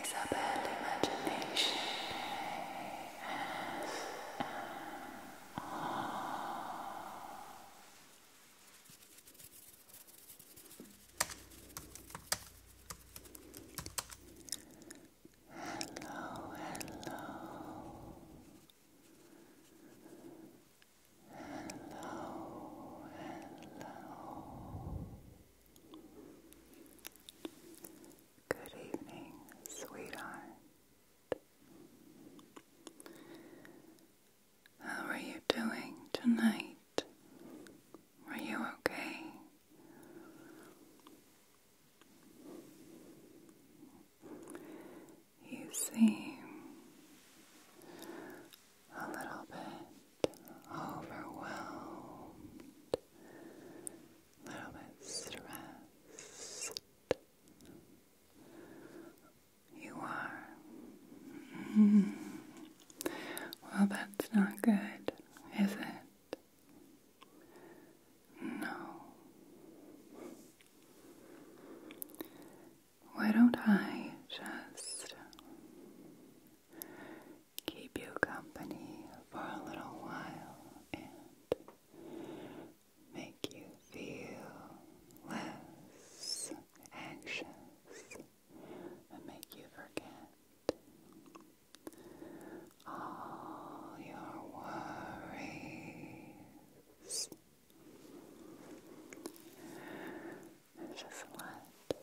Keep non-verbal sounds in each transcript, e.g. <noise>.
Isabel Imagination Hello, hello. Hello, hello. Good evening, sweetheart. How are you doing tonight? Are you okay? You seem a little bit overwhelmed, a little bit stressed. You are. Well, that's not good, is it? No. Why don't I just keep you company for a little while and make you feel less anxious and make you forget all your worries. Just let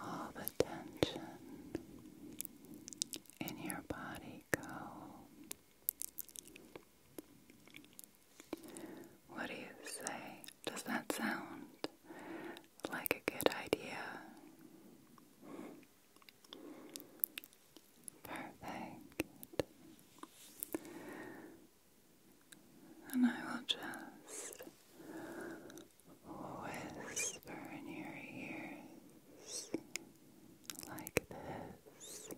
all the tension in your body go. What do you say? Does that sound like a good idea? Perfect. And I will just whisper in your ears like this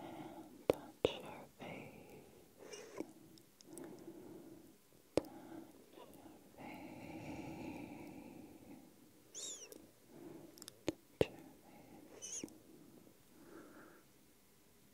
and touch your face. Touch your face. Touch your face.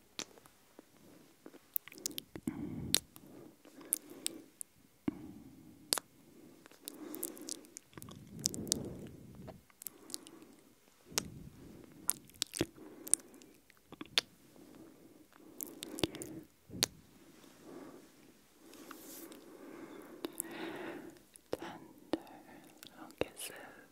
Tender little kisses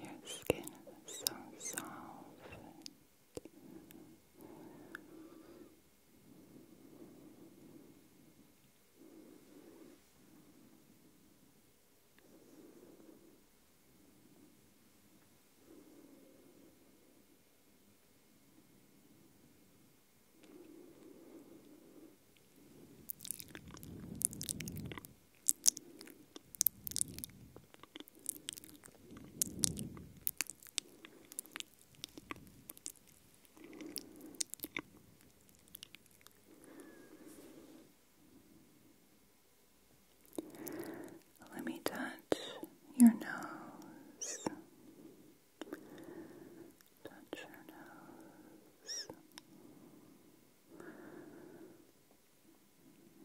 Your skin so soft. Let me touch your nose. Touch your nose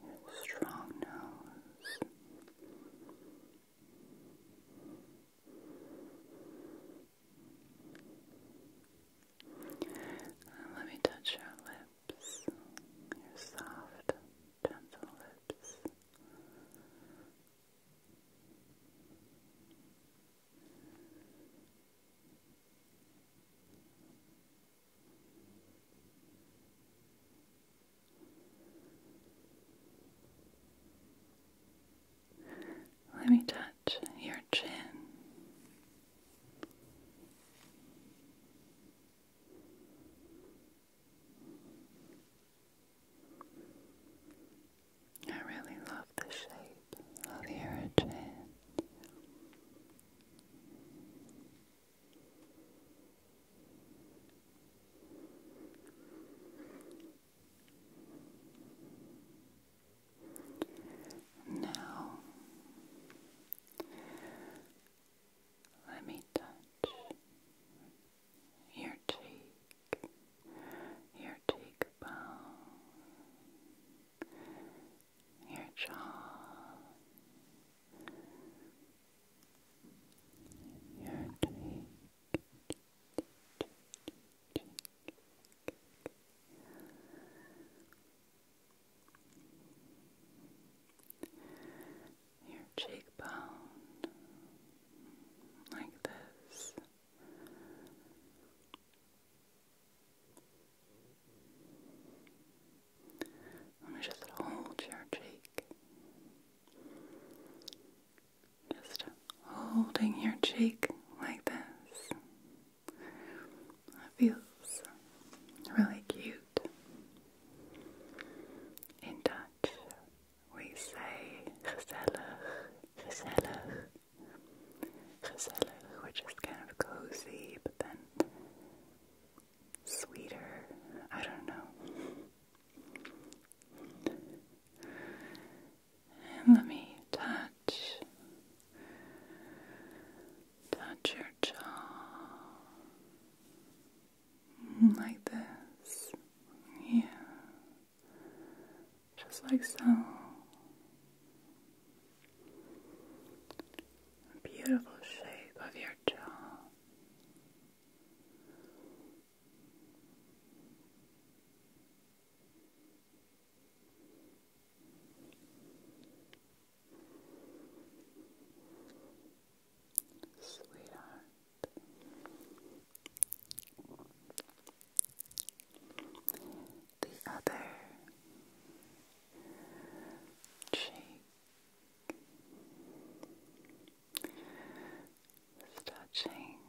your strong nose. let me touch your lips, your soft, gentle lips. Let me touch your chin. I really love the shape of your chin. Now, let me touch your cheek, your cheekbone, your jaw, your cheek, your cheekbone, like this. Let me just hold your cheek. Just holding your cheek like this. That feels really cute. In Dutch, we say gezellig gezellig. Gezellig, which is kind of cozy, but then sweeter. I don't know. let me touch, touch your jaw like this. Yeah just like so. beautiful shape of your jaw. Sweetheart, the other cheek touching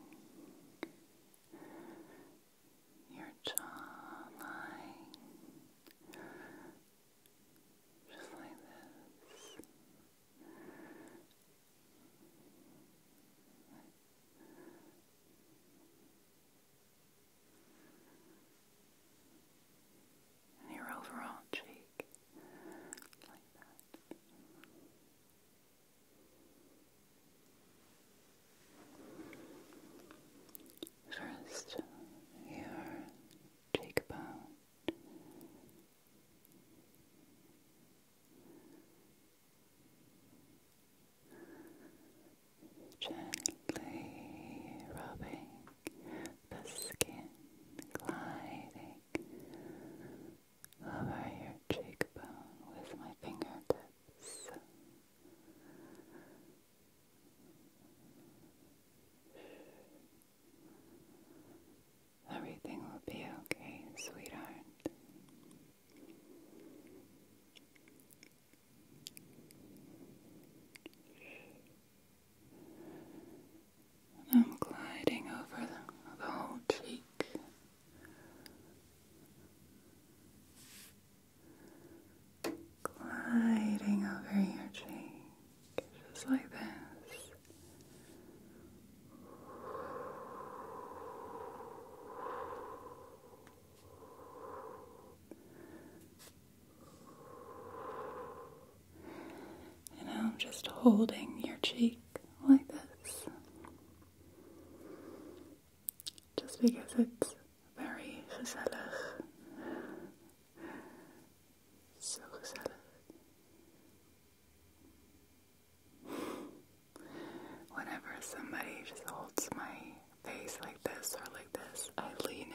your jawline just like this and your overall cheek like that. First, your cheekbone, Gently rubbing the skin, gliding over your cheekbone with my fingertips. Everything will be okay, sweetheart. I'm gliding over the whole cheek. Gliding over your cheek, just like this. And I'm just holding your cheek like this. Just because it's very gezellig. So gezellig. Whenever somebody just holds my face like this or like this, I lean in.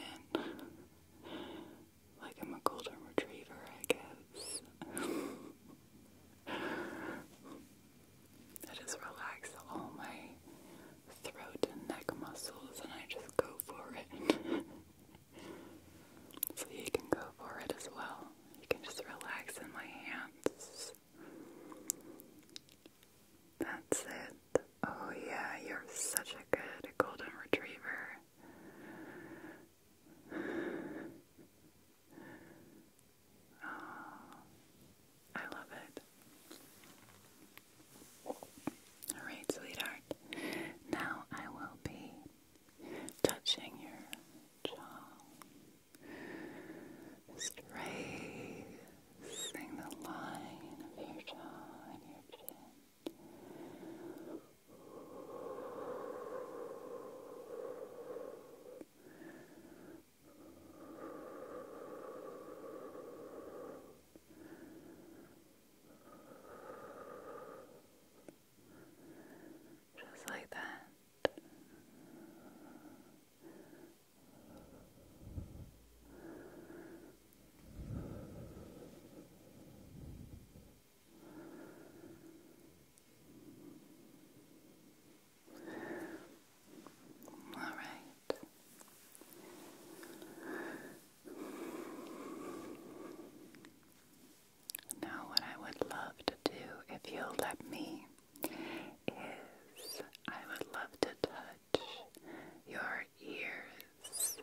like I'm a golden retriever, I guess. I just relax all my throat and neck muscles and I just go for it. <laughs> so you can go for it as well. You can just relax in my hands. That's it. Oh, yeah, you're such a good golden retriever. Oh, I love it. Alright, sweetheart. Now I will be touching your jaw just the line of your jaw and your chin. Just like that. All right. Now, what I would love to do, if you'll let me, is I would love to touch your ears.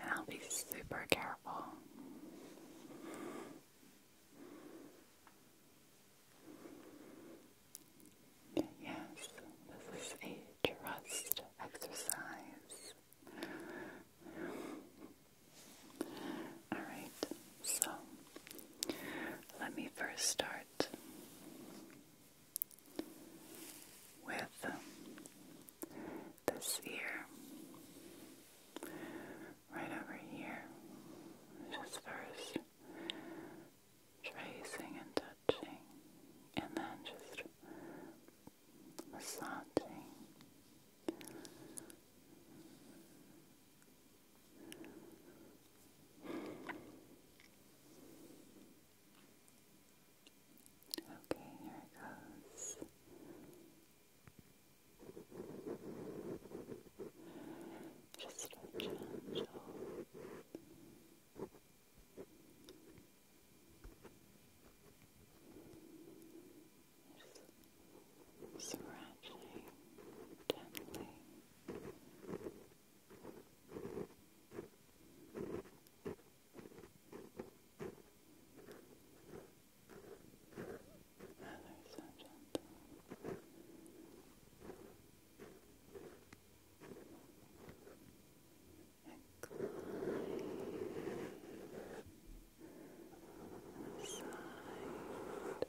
And I'll be super careful. Yes, this is a trust exercise. Alright, so let me first start with um, this ear right over here. Just first tracing and touching, and then just massaging. Okay, here it goes. Just a gentle just sriracha gently. Rather so gentle. Incline, side,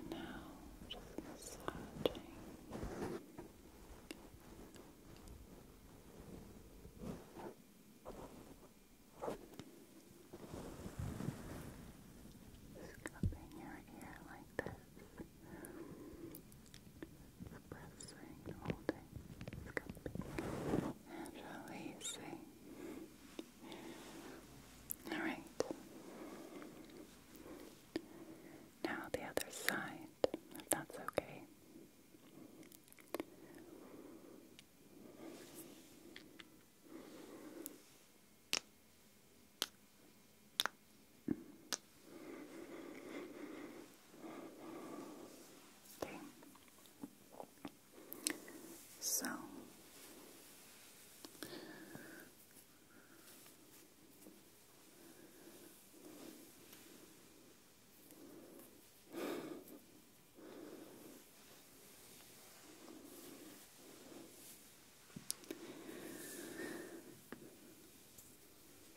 And now, just massaging. Scupping your ear like this. Suppressing, holding, scupping, and releasing. Alright. Now the other side, if that's okay. Okay. So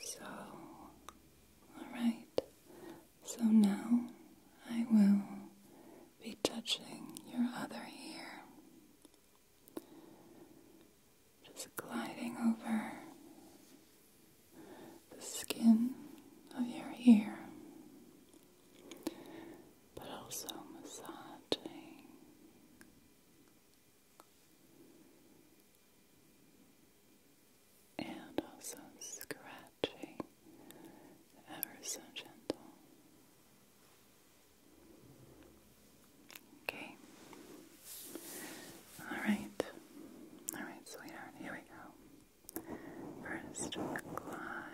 so Alright, so now I will be touching your other ear. Just gliding over the skin of your ear, but also massaging and also scratching ever so gentle. Okay. Alright. Alright, sweetheart, here we go. First, gliding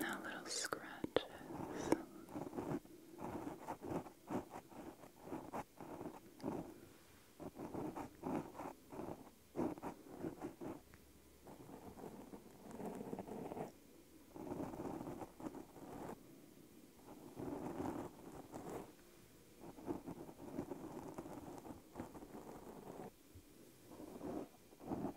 Now little scratches. Now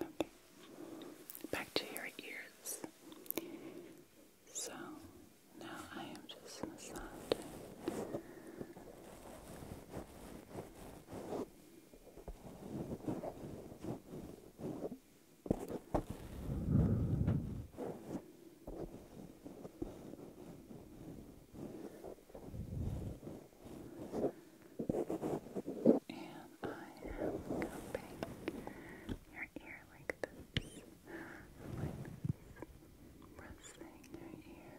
Okay. Back to your ears. So now I am just massaging. I am cupping your ear like this, pressing your ear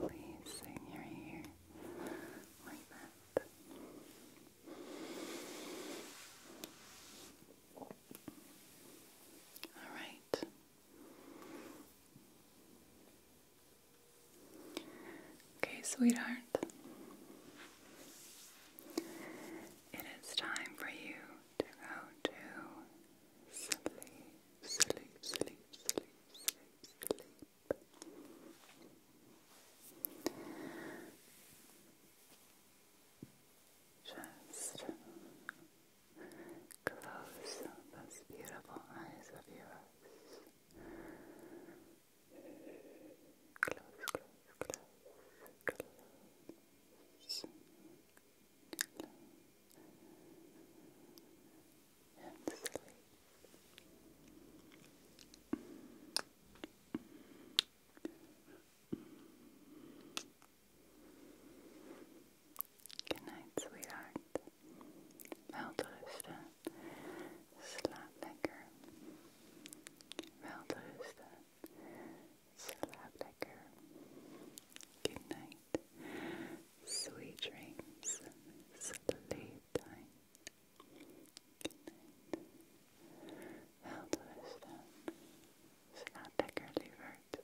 releasing your ear like that. All right. Okay, sweetheart, it is time for you to go to sleep, sleep, sleep, sleep, sleep, sleep. Just close those beautiful eyes of yours. Close, close, close, close. And sleep. Good night, sweetheart welterusten, slaap lekker. Welterusten, slaap lekker. Good night, sweet dreams, sleep time. Good night. Welterusten, slaap lekker lieverd.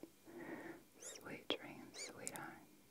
Sweet dreams, sweetheart